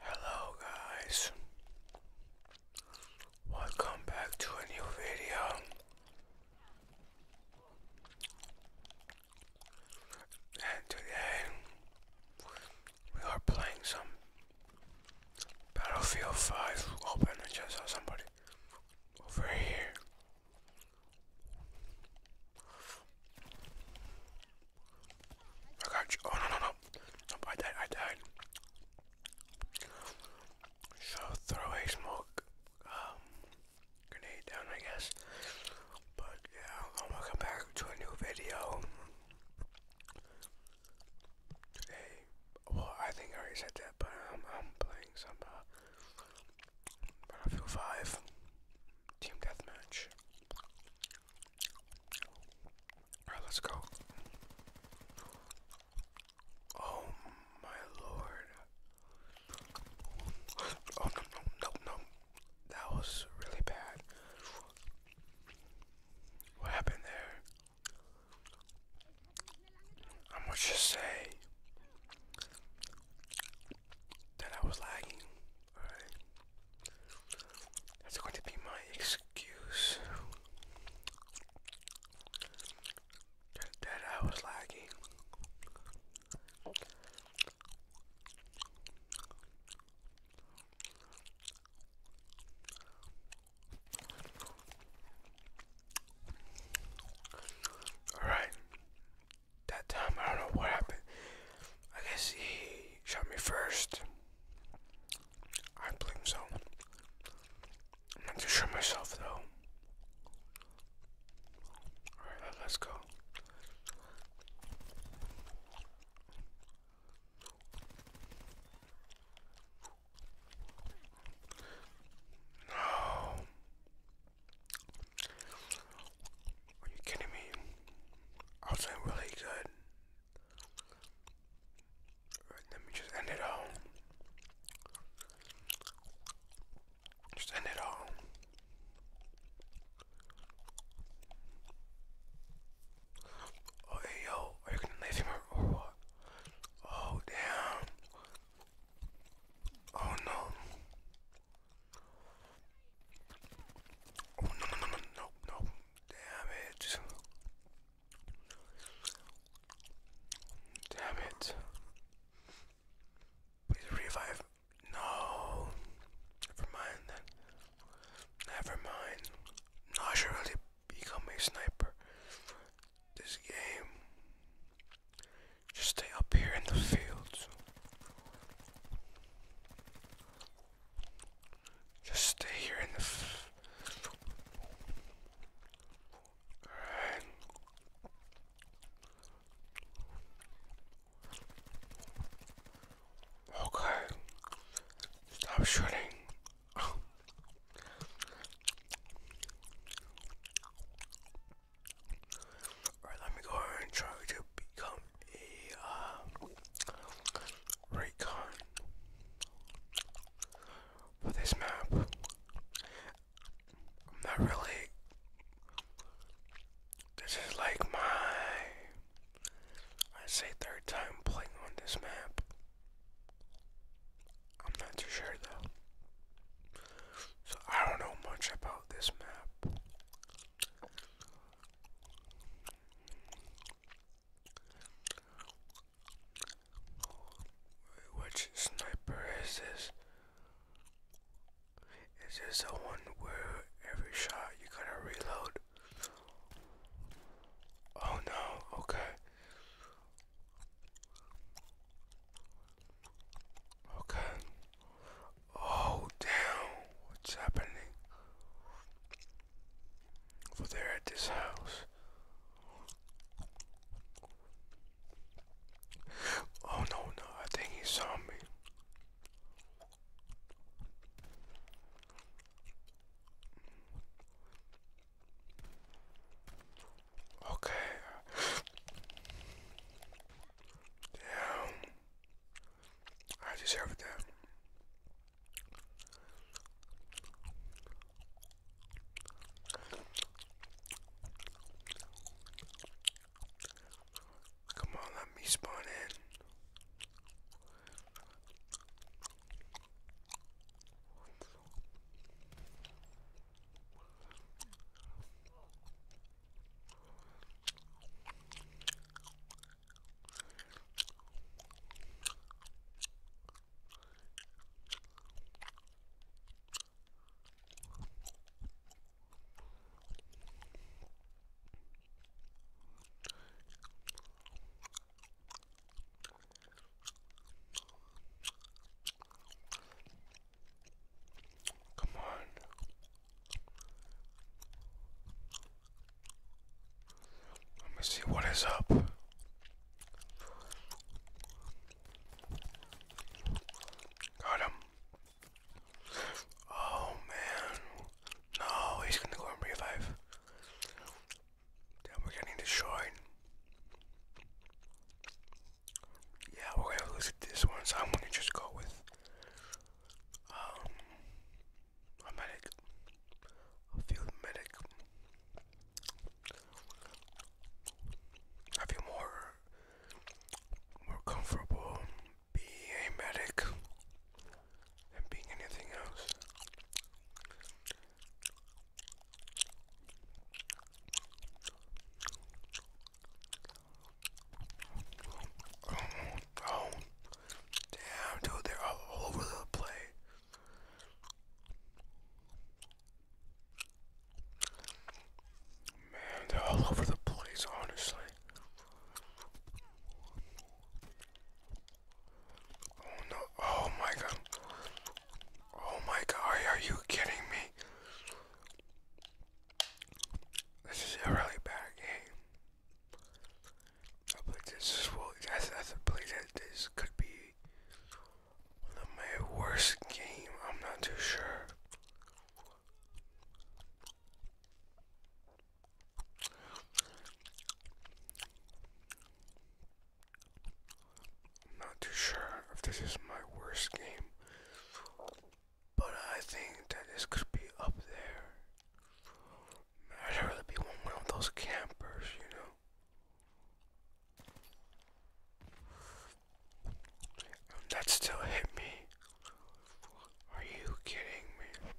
Hello, guys. Welcome back to a new video. And today we are playing some Battlefield 5 open. I just saw somebody over here. I got you. Oh, no, no, no. I died. I died. So throw a smoke. Um, grenade down, I guess. But yeah, welcome back to a new video. Today, well, I think I already said that, but um, I'm playing some uh, Battlefield 5 Team Deathmatch. Alright, let's go. Oh my lord. Oh no no no no! That was really bad. What happened there? I must just say that I was lagging. Alright. That's going to be my excuse. That, I was lagging. Alright. That time, I don't know what happened. I guess he shot me first. I blame so. am not to sure myself, though. Alright, let's go. No. Are you kidding me? I was doing really good. Right, let me just end it all. Send it all. Oh, yo, are you gonna leave him or what? Oh, damn. Oh, no. Oh, no, no, no, no, no, no. Damn it. Damn it. Please revive. No. Never mind then. Never mind. No, I should really become a sniper. This game. Just stay up here in the fields. Just stay here in the. F Okay. Stop shooting. Alright, let me go ahead and try to become a uh, recon for this map. I'm not really. This is like my. I say third time playing on this map. I'm not too sure though. So I don't know much about this map. Which sniper is this? Is this the one where every shot you gotta reload? Oh no, okay. Okay. Oh damn, what's happening? Over there at this house. Oh no, no, I think he saw me. Okay. Damn. I deserve that. Come on, let me spawn in. Come on. Let me see what is up. Got him. Oh man. No, he's gonna go and revive. Damn, we're getting destroyed. Yeah, we're gonna lose this one, so I'm gonna just go with um a medic. A field medic. I feel more more comfortable being a medic than being anything else. oh, damn, dude, they're all over the place. Man, they're all over the place, honestly. Oh no, oh my god. Oh my god, are you kidding me? This is a really bad game. I believe this is that this could be one my worst game. I'm not too sure. I'm not too sure if this is my worst game, but I think that this could be up there. I'd rather be one of those campers, you know that still hit me. Are you kidding me?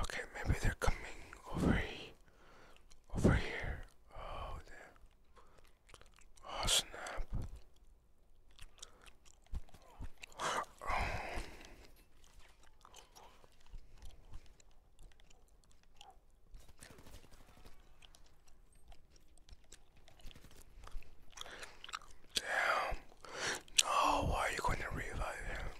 Okay, maybe they're coming over here. Over here. Oh, damn. Oh, snap. Damn. No, why are you going to revive him?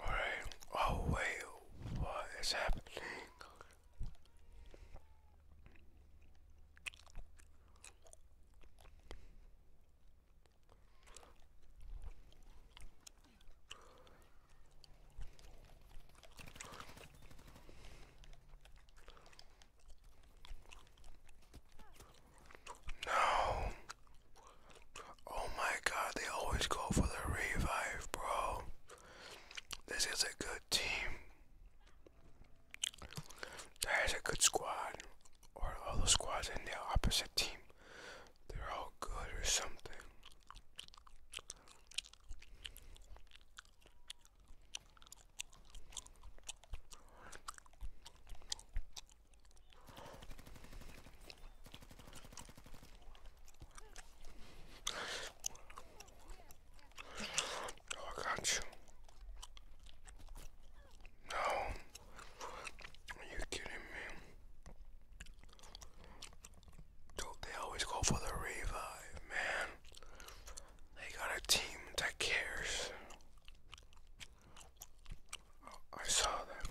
Alright. Oh wait, what is happening? No. Oh my god, they always go for the revive, bro. This is a good team. That is a good squad. Or all the squads in the opposite team. They're all good or something. Oh, I No. Are you kidding me? Dude, they always go for the revive, man. They got a team that cares. Oh, I saw them.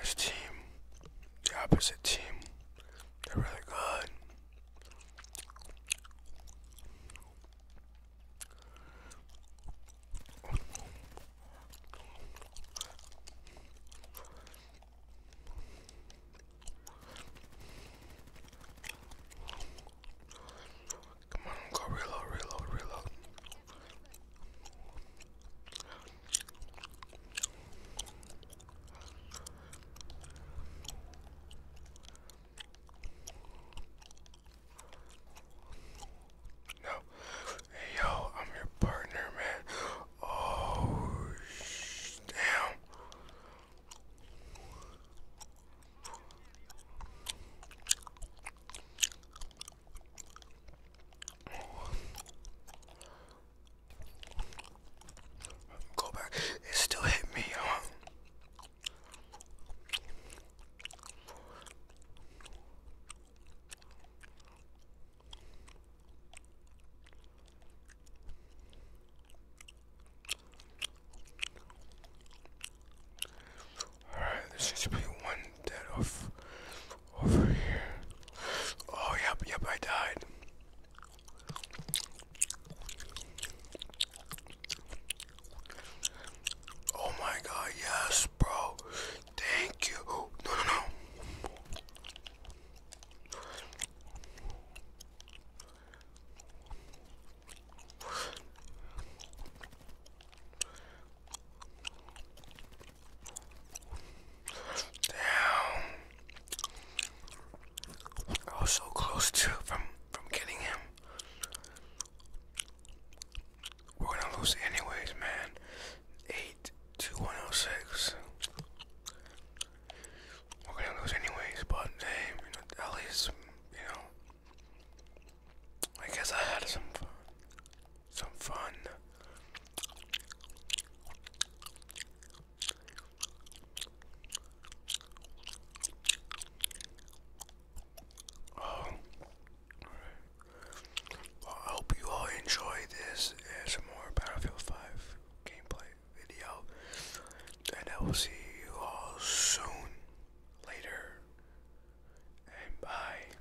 This team, the opposite team, they're really good. Come on, go reload, reload, reload. No. Hey, yo, I'm your partner, man. Oh, damn. Go back. It still hit me. Huh? Alright, this should be one dead off over here. Oh, yep, yep, I died. Oh my god, yes, bro. Thank you. No, no, no. Damn. I was so close to from from getting him. We're gonna lose anyways, man. Eight oh six. We're gonna lose anyways, but hey, at least you know. I guess I had some Some fun. Oh. I hope you all enjoy this as more Battlefield 5 gameplay video. And I will see you all soon. Later. And bye.